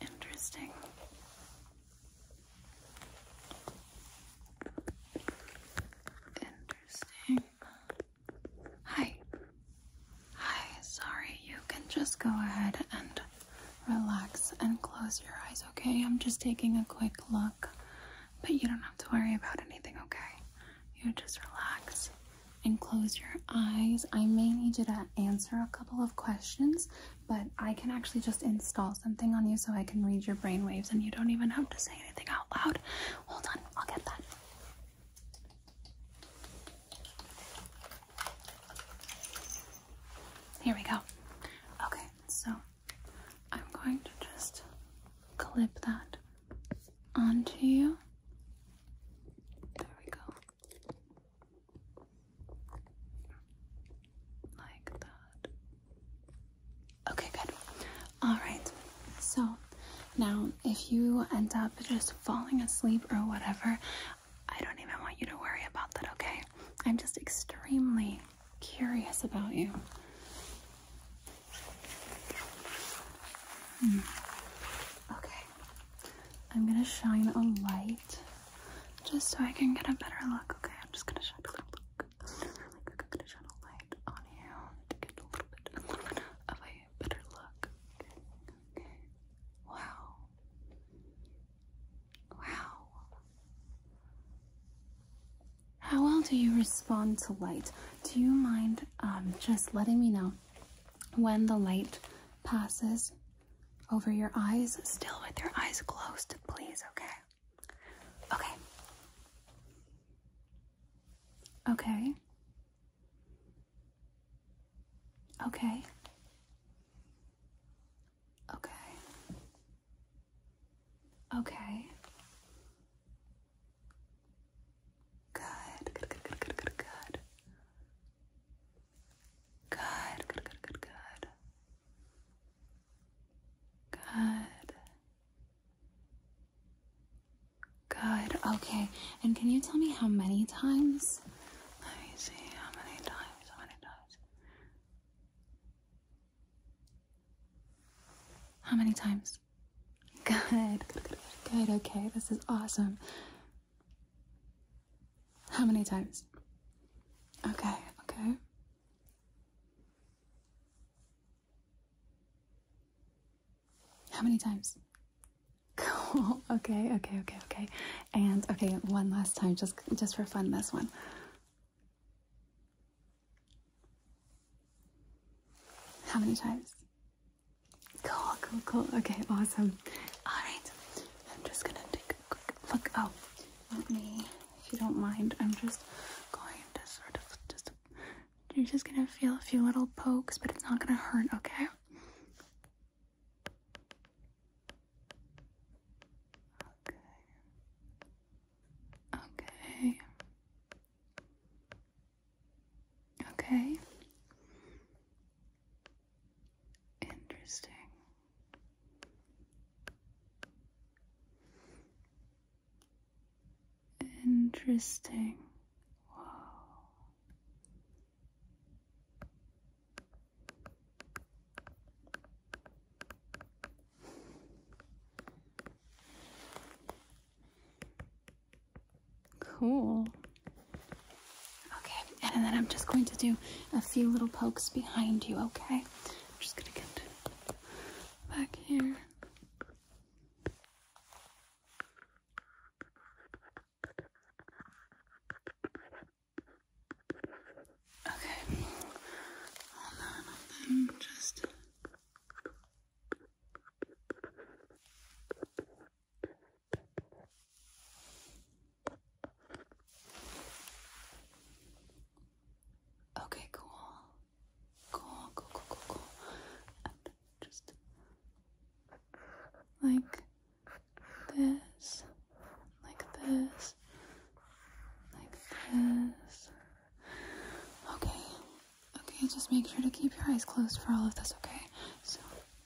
Interesting. Interesting. Hi. Hi, sorry. You can just go ahead and relax and close your eyes, okay? I'm just taking a quick look, but you don't have to worry about anything, okay? You just relax and close your eyes. I may need you to answer a couple of questions, but I can actually just install something on you so I can read your brainwaves and you don't even have to say anything out loud. Hold on, I'll get that. Here we go. Okay, so I'm going to just clip that onto you. There we go. Like that. Okay, good. Alright, so now if you end up just falling asleep or whatever, I don't even want you to worry about that, okay? I'm just extremely curious about you. Hmm. Okay, I'm gonna shine a light just so I can get a better look. Okay, I'm just gonna shine a little look. I'm gonna shine a light on you to get a little bit, of a better look. Okay. okay. Wow. Wow. How well do you respond to light? Do you mind um, just letting me know when the light passes over your eyes, still with your eyes closed, please, okay? Okay. Okay. Okay. Okay. Good, good, good, good, good, good, good. Good, good, good, good, good. Good. Good. Okay. And can you tell me how many times? Let me see how many times, how many times. How many times? Good. Good, good, good, good. Okay, this is awesome. How many times? Okay, okay. How many times? Okay, okay, okay, okay. And okay, one last time, just just for fun, this one. How many times? Cool, cool, cool. Okay, awesome. Alright, I'm just gonna take a quick look. Oh, let me, if you don't mind, I'm just going to sort of just, you're just gonna feel a few little pokes, but it's not gonna hurt, okay? Okay. Okay. Okay. Interesting. Interesting. Wow. Cool. Okay, and then I'm just going to do a few little pokes behind you, okay? just gonna get back here. Okay, hold on, hold on, just. Okay, cool. Cool, cool, cool, cool, just like this, like this, like this. Okay, Okay, just make sure to keep your eyes closed for all of this, okay? So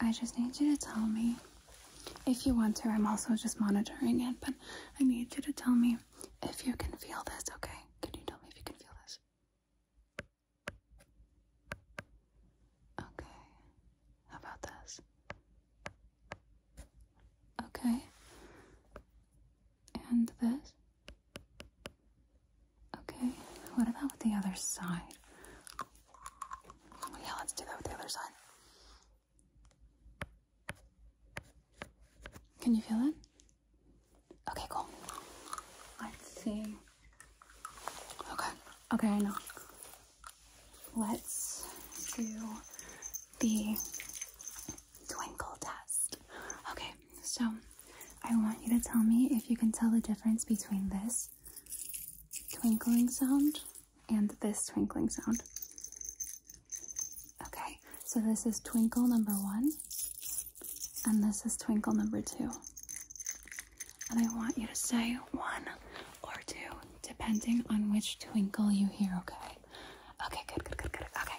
I just need you to tell me if you want to. I'm also just monitoring it, but I need you to tell me if you can feel this, okay? Can you tell me if you can feel this? Okay, how about this? Okay, and this? Okay, what about with the other side? Yeah, let's do that with the other side. Can you feel it? Okay, cool. Let's see. Okay, okay, I know. Let's do the twinkle test. Okay, so I want you to tell me if you can tell the difference between this twinkling sound and this twinkling sound. Okay, so this is twinkle number one, and this is twinkle number two. And I want you to say one or two, depending on which twinkle you hear, okay? Okay, good, good, good, good, okay.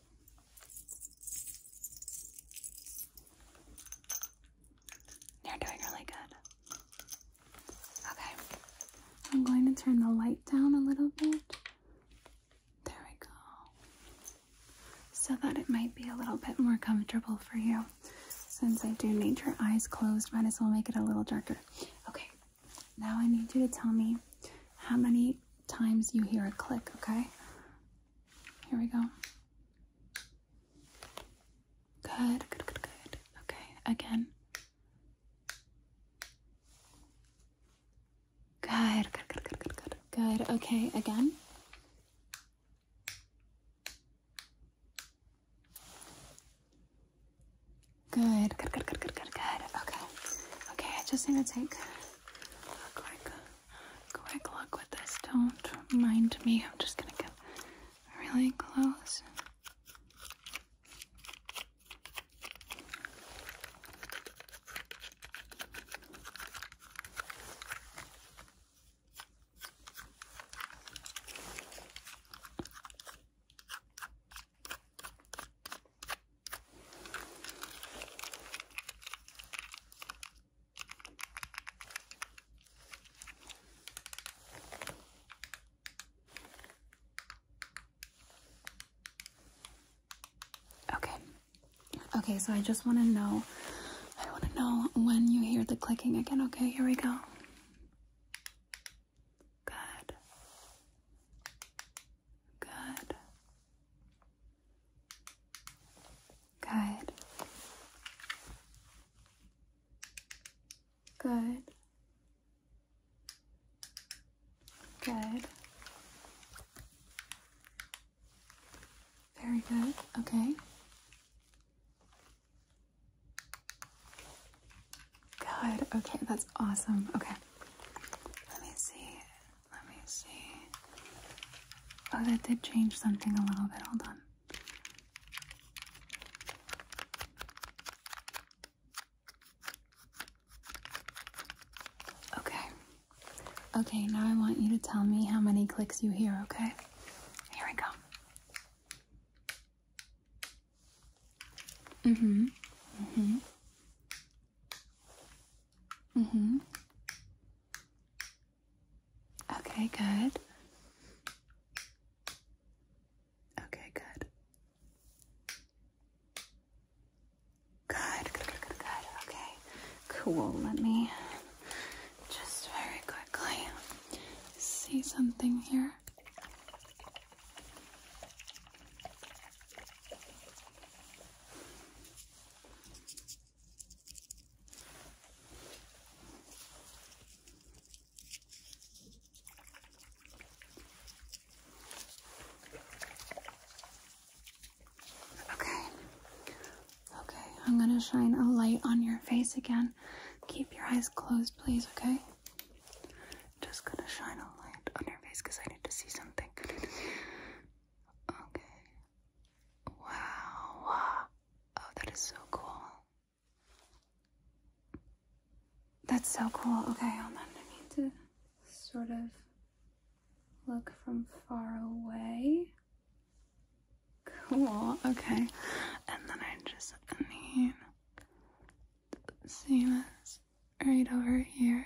You're doing really good. Okay, I'm going to turn the light down a little bit. There we go. So that it might be a little bit more comfortable for you. Since I do need your eyes closed, might as well make it a little darker. Okay, now I need you to tell me how many times you hear a click, okay? Here we go. Good, good, good, good. Okay, again. Good, good, good, good, good, good. Good, okay, again. Good, good, good, good, good, good, good. Okay. Okay, I just need to take a quick quick look with this. Don't mind me. I'm just gonna get really close. Okay. Okay, so I just want to know I want to know when you hear the clicking again. Okay, here we go. Good. Good. Good. Good. Good. Very good. Okay. Good. Okay, that's awesome. Okay. Let me see let me see. Oh, that did change something a little bit. Hold on. Okay. Okay, now I want you to tell me how many clicks you hear, okay? Here we go. Mm hmm. Mm hmm. Mm-hmm. Okay, good. Okay, good, good, good, good. Okay, cool. Let me just very quickly see something here. Okay. Okay, I'm going to shine a light on your face again. Keep your eyes closed, please, okay? Just going to shine a light on your face because I need to see something. Okay. Wow. Oh, that is so cool. That's so cool. Okay, hold on. I need to sort of look from far away. Cool. Okay. And then I just need to see this right over here.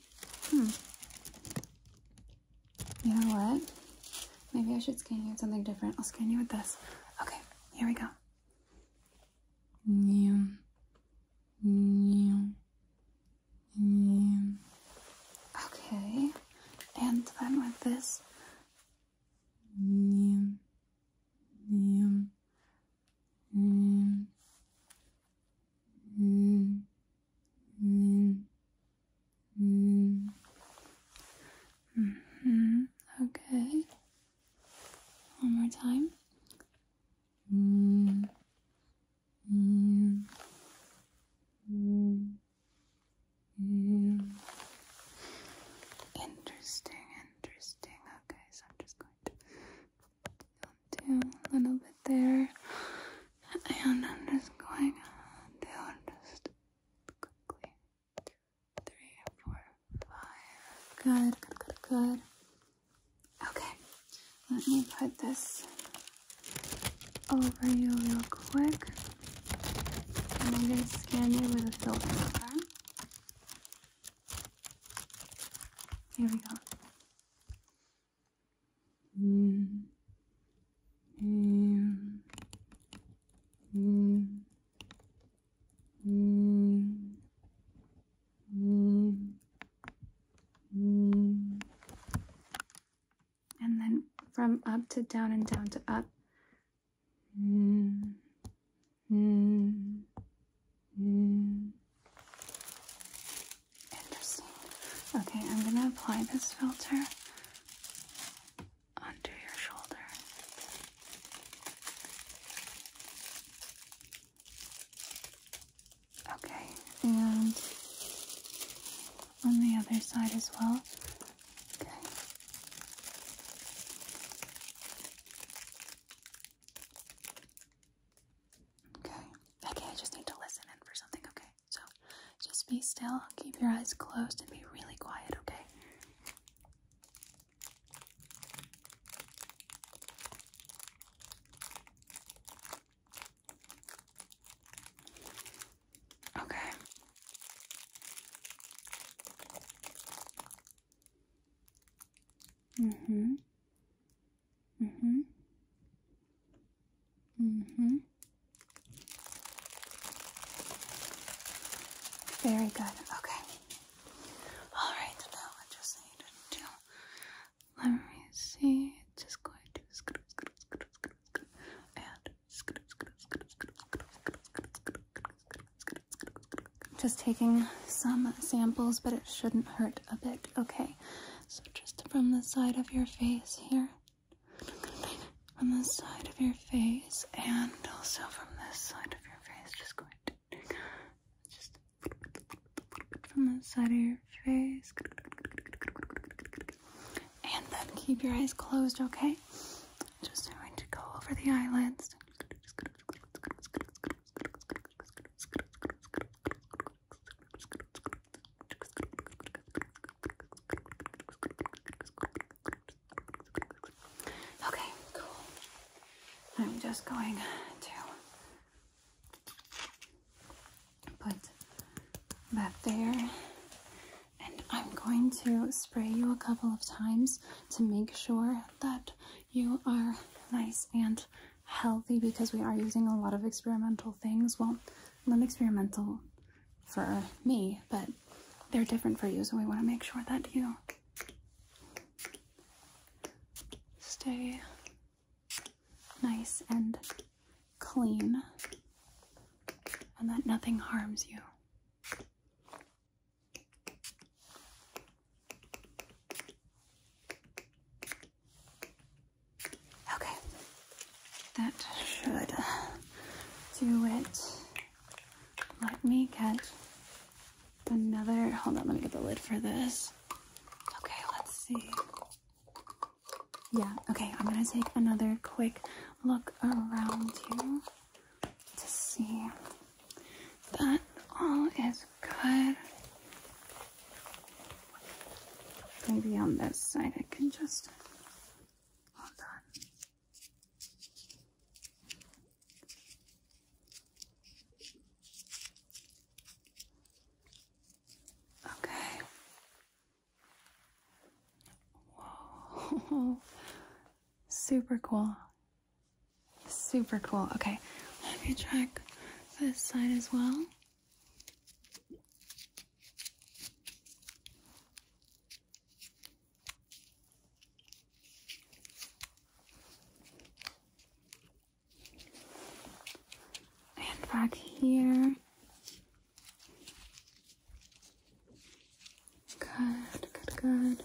Hmm. You know what? Maybe I should scan you with something different. I'll scan you with this. Okay, here we go. Yeah. Yeah. Yeah. Okay. And then with this. Yeah. Yeah. Yeah. Mm, mm, mm. Mm -hmm. Okay. One more time. Mm, mm, mm, mm. Interesting, interesting. Okay, so I'm just going to down a little bit there. And I'm just going down just quickly. Three, four, five. Good, good, good, good. Okay, let me put this over you real quick. And I'm going to scan it with a filter, okay? Here we go in, in, in, in, in, in. And then from up to down and down to up. Mm, mm, Okay, I'm gonna apply this filter onto your shoulder. Okay, and on the other side as well. Okay. Okay. Okay, I just need to listen in for something, okay? So just be still, keep your eyes closed, and be really quiet, okay? Okay. Mm-hmm. Mm-hmm. Mm-hmm. Very good. Okay. All right, now I just need to Let me see. Just going to and Just taking some samples, but it shouldn't hurt a bit. Okay. So just from the side of your face here. From the side of your face and also from this side of your face. Just going to just from the side of your face. And then keep your eyes closed, okay? Just going to go over the eyelids. Okay, cool. I'm just going to put that there and I'm going to spray you a couple of times to make sure that you are nice and healthy because we are using a lot of experimental things. Well, not experimental for me, but they're different for you, so we want to make sure that you stay nice and clean and that nothing harms you. Okay, that should do it. Let me get another. Hold on, let me get the lid for this. Okay, let's see. Yeah, okay, I'm gonna take another quick look around you to see that all is Good. Maybe on this side I can just hold on. Okay. Whoa. Super cool. Super cool. Okay, let me check this side as well. And back here. Good, good, good.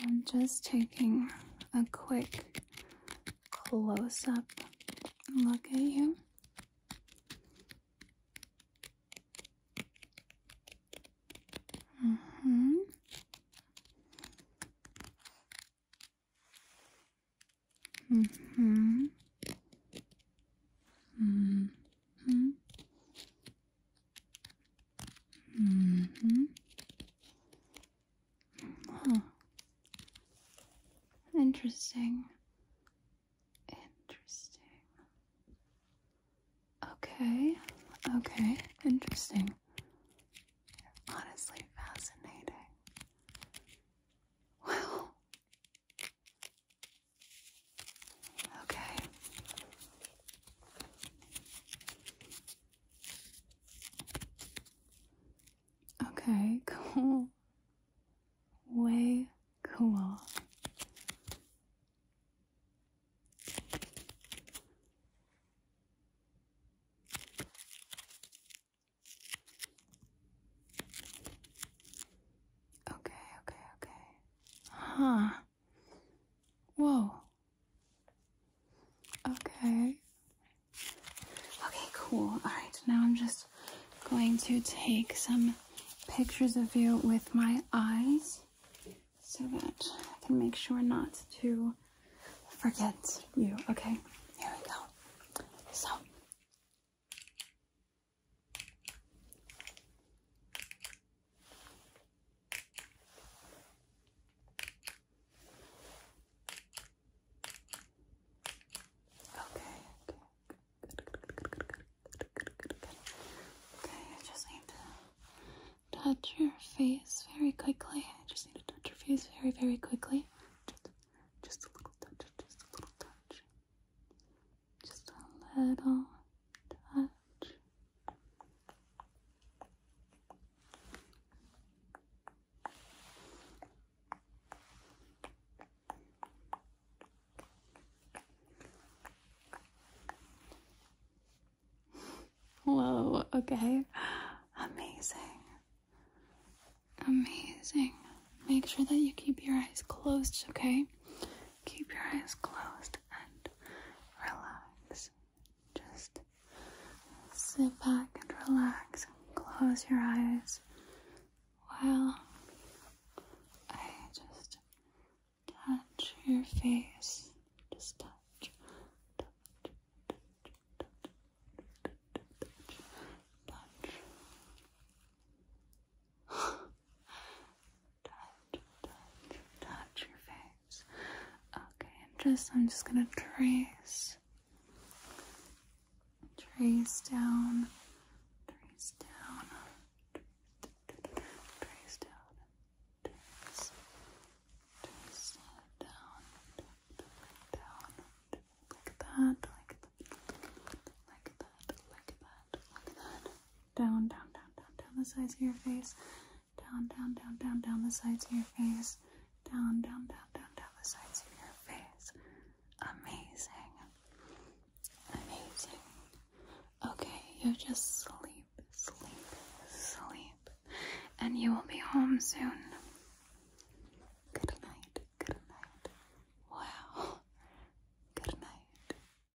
I'm just taking a quick close up look at you. Mm hmm Mm hmm hmm hmm. Huh. Interesting. Interesting. Okay. Okay. Interesting. Honestly fascinating. Wow. Okay. Okay, cool. Way cool. Okay, okay, okay. Huh. Whoa. Okay. Okay, cool. All right, now I'm just going to take some pictures of you with my eyes so that I can make sure not to forget you. Okay, here we go. So. Okay, okay. Good, good, good, good, good, Okay, I just need to touch your face very quickly. I just need to touch your face very, very quickly. Just, just a little touch, just a little touch just a little touch. Whoa, okay. Amazing. Amazing. Make sure that you keep your eyes closed, okay? Keep your eyes closed and relax. Just sit back and relax. Close your eyes while I just touch your face. Just touch, touch, touch, touch, touch, touch your face. Okay, and just I'm just gonna trace, trace down, trace down, trace down, down, down, like that, like that, like that, like that, like that down, down, down, down, down the sides of your face, down, down, down, down, down the sides of your face, down, down, down, down, down the sides of your face. Amazing. Amazing. Okay, you just sleep, sleep, sleep, and you will be home soon. Good night, good night. Wow. Good night.